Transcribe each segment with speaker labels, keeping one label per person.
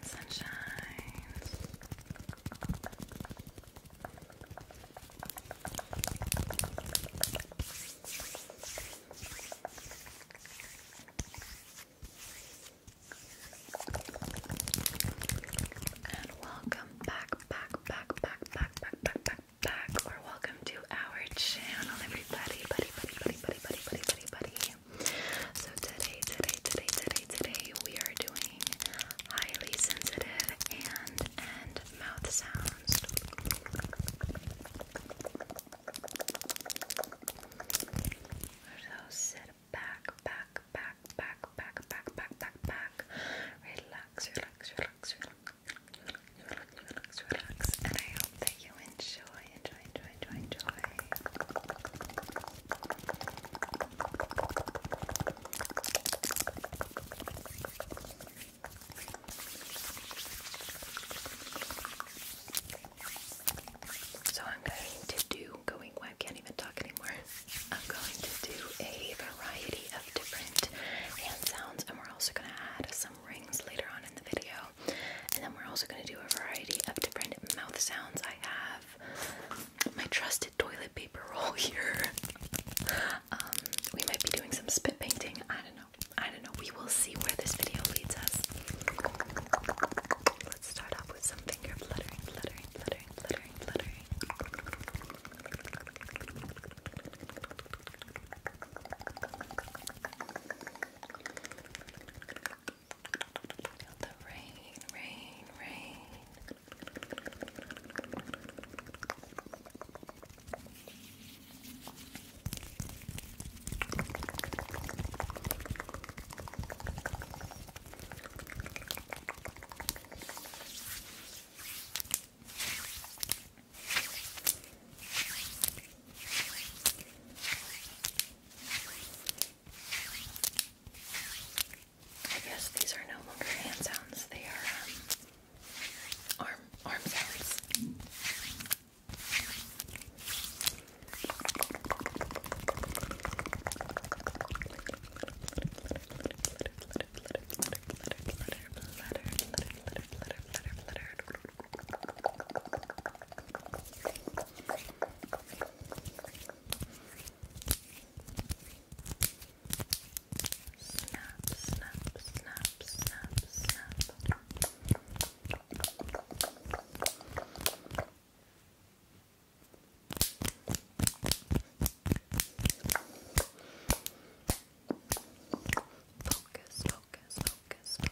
Speaker 1: Sunshine, And welcome back, back, back, back, back, back, back, back, or welcome to our channel, everybody, buddy, buddy, buddy, buddy, buddy, buddy, buddy, buddy. So today, today, today, today, today, we are doing highly sensitive and and mouth sounds. So sit back, back, back, back, back, back, back, back, back. Relax, relax, relax, relax, relax, relax, relax. And I hope that you enjoy so I'm going to do going well, I can't even talk anymore. I'm going to do a variety of different hand sounds and we're also gonna add some rings later on in the video. And then we're also going to do a variety of different mouth sounds. I have my trusted toilet paper roll here. Um, we might be doing some spit painting. I don't know. I don't know. We will see where this video leads us. Let's start off with some finger fluttering. Feel the rain, rain, rain. Feel I guess these are no longer hand sounds, they are um, arm arm sounds. Snap, snap, snap, snap, snap. Focus, focus, focus, focus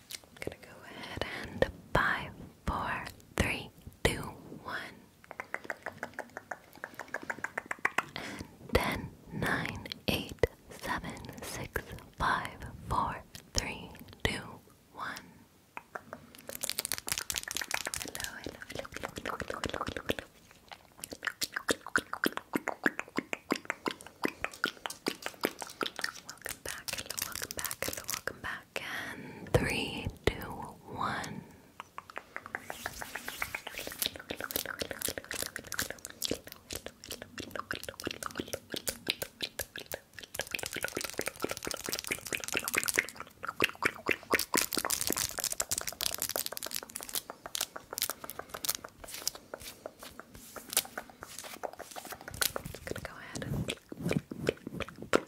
Speaker 1: i gonna go ahead and five, four, three, two, one. And ten, nine, eight, seven, six, five, four, three, two, one. Hello, hello, hello, hello, hello, hello, hello. Welcome back, welcome back, welcome back back and three, two, one. Just gonna go ahead and Pull, pull, pull,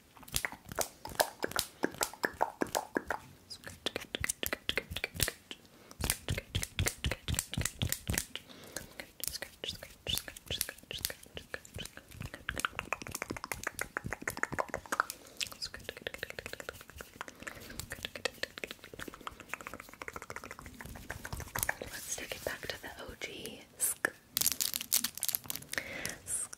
Speaker 1: Let's take it back to the OG.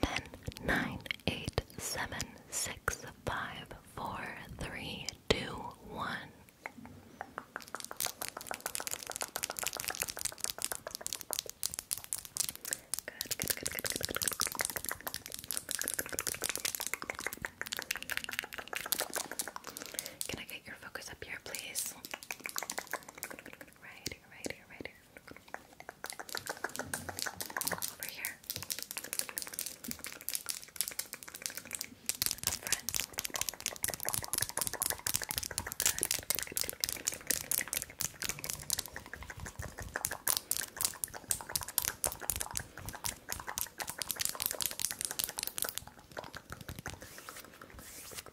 Speaker 1: Ten, nine, eight, seven, six, five, four, three, two, one. Good, Can I get your focus up here, please? Right here, right here, right here. Over here. Up front. Good, good, good, good, good, good, good, good, good. Good,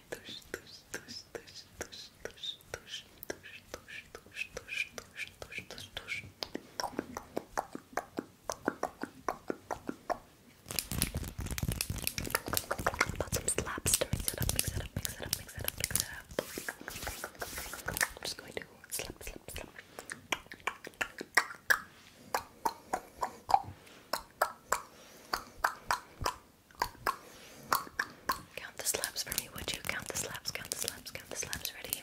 Speaker 1: tush, tush, tush, tush, tush, tush, tush, tush, tush, tush, tush, tush, tush, tush. Put some slaps to mix it up, mix it up, mix it up, mix it up, mix it up.
Speaker 2: I'm just going to slap, slap, slap. Good, Count the slaps for
Speaker 1: me, would you? Count the slaps, count the slaps, count the slaps. Ready?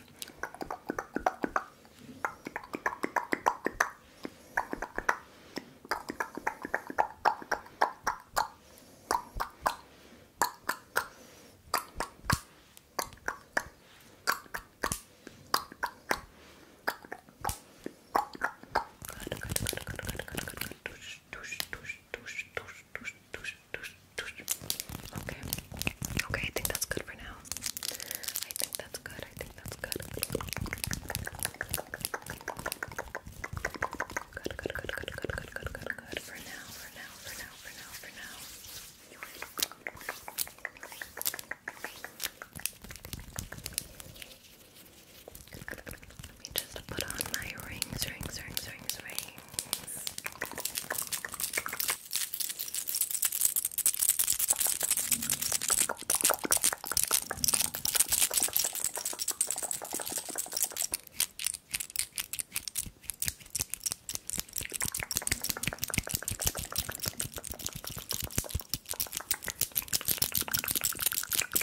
Speaker 1: tush, tush, tush, tush, tush, tush, tush, tush. Okay. Okay, I think that's good for now. I think that's good. I think that's good. Good, good, good, good, good, good, good, good, good. For now, for now, for now, for
Speaker 2: now, for now. Let me just put on my rings, rings, rings, rings, rings.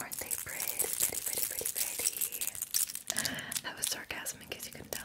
Speaker 2: Aren't they pretty, pretty, pretty, pretty, That was sarcasm in case you couldn't tell.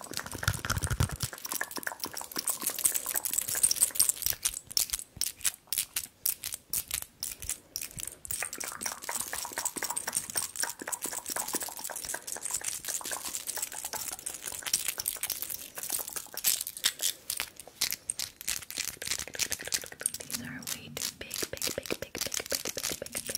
Speaker 1: These are way too big, big, big, big, big, big, big, big, big, big.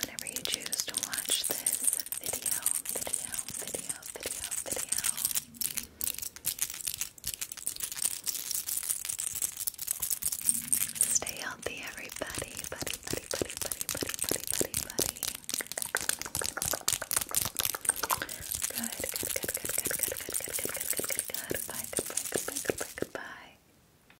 Speaker 1: whenever you choose to watch this video, video, video, video, video. Stay healthy, everybody. Buddy, buddy, buddy, buddy, buddy, buddy, buddy, buddy. Good, good, good, good, good, good, good, good, good, good, good, good, good. Bye, goodbye, goodbye, goodbye, goodbye.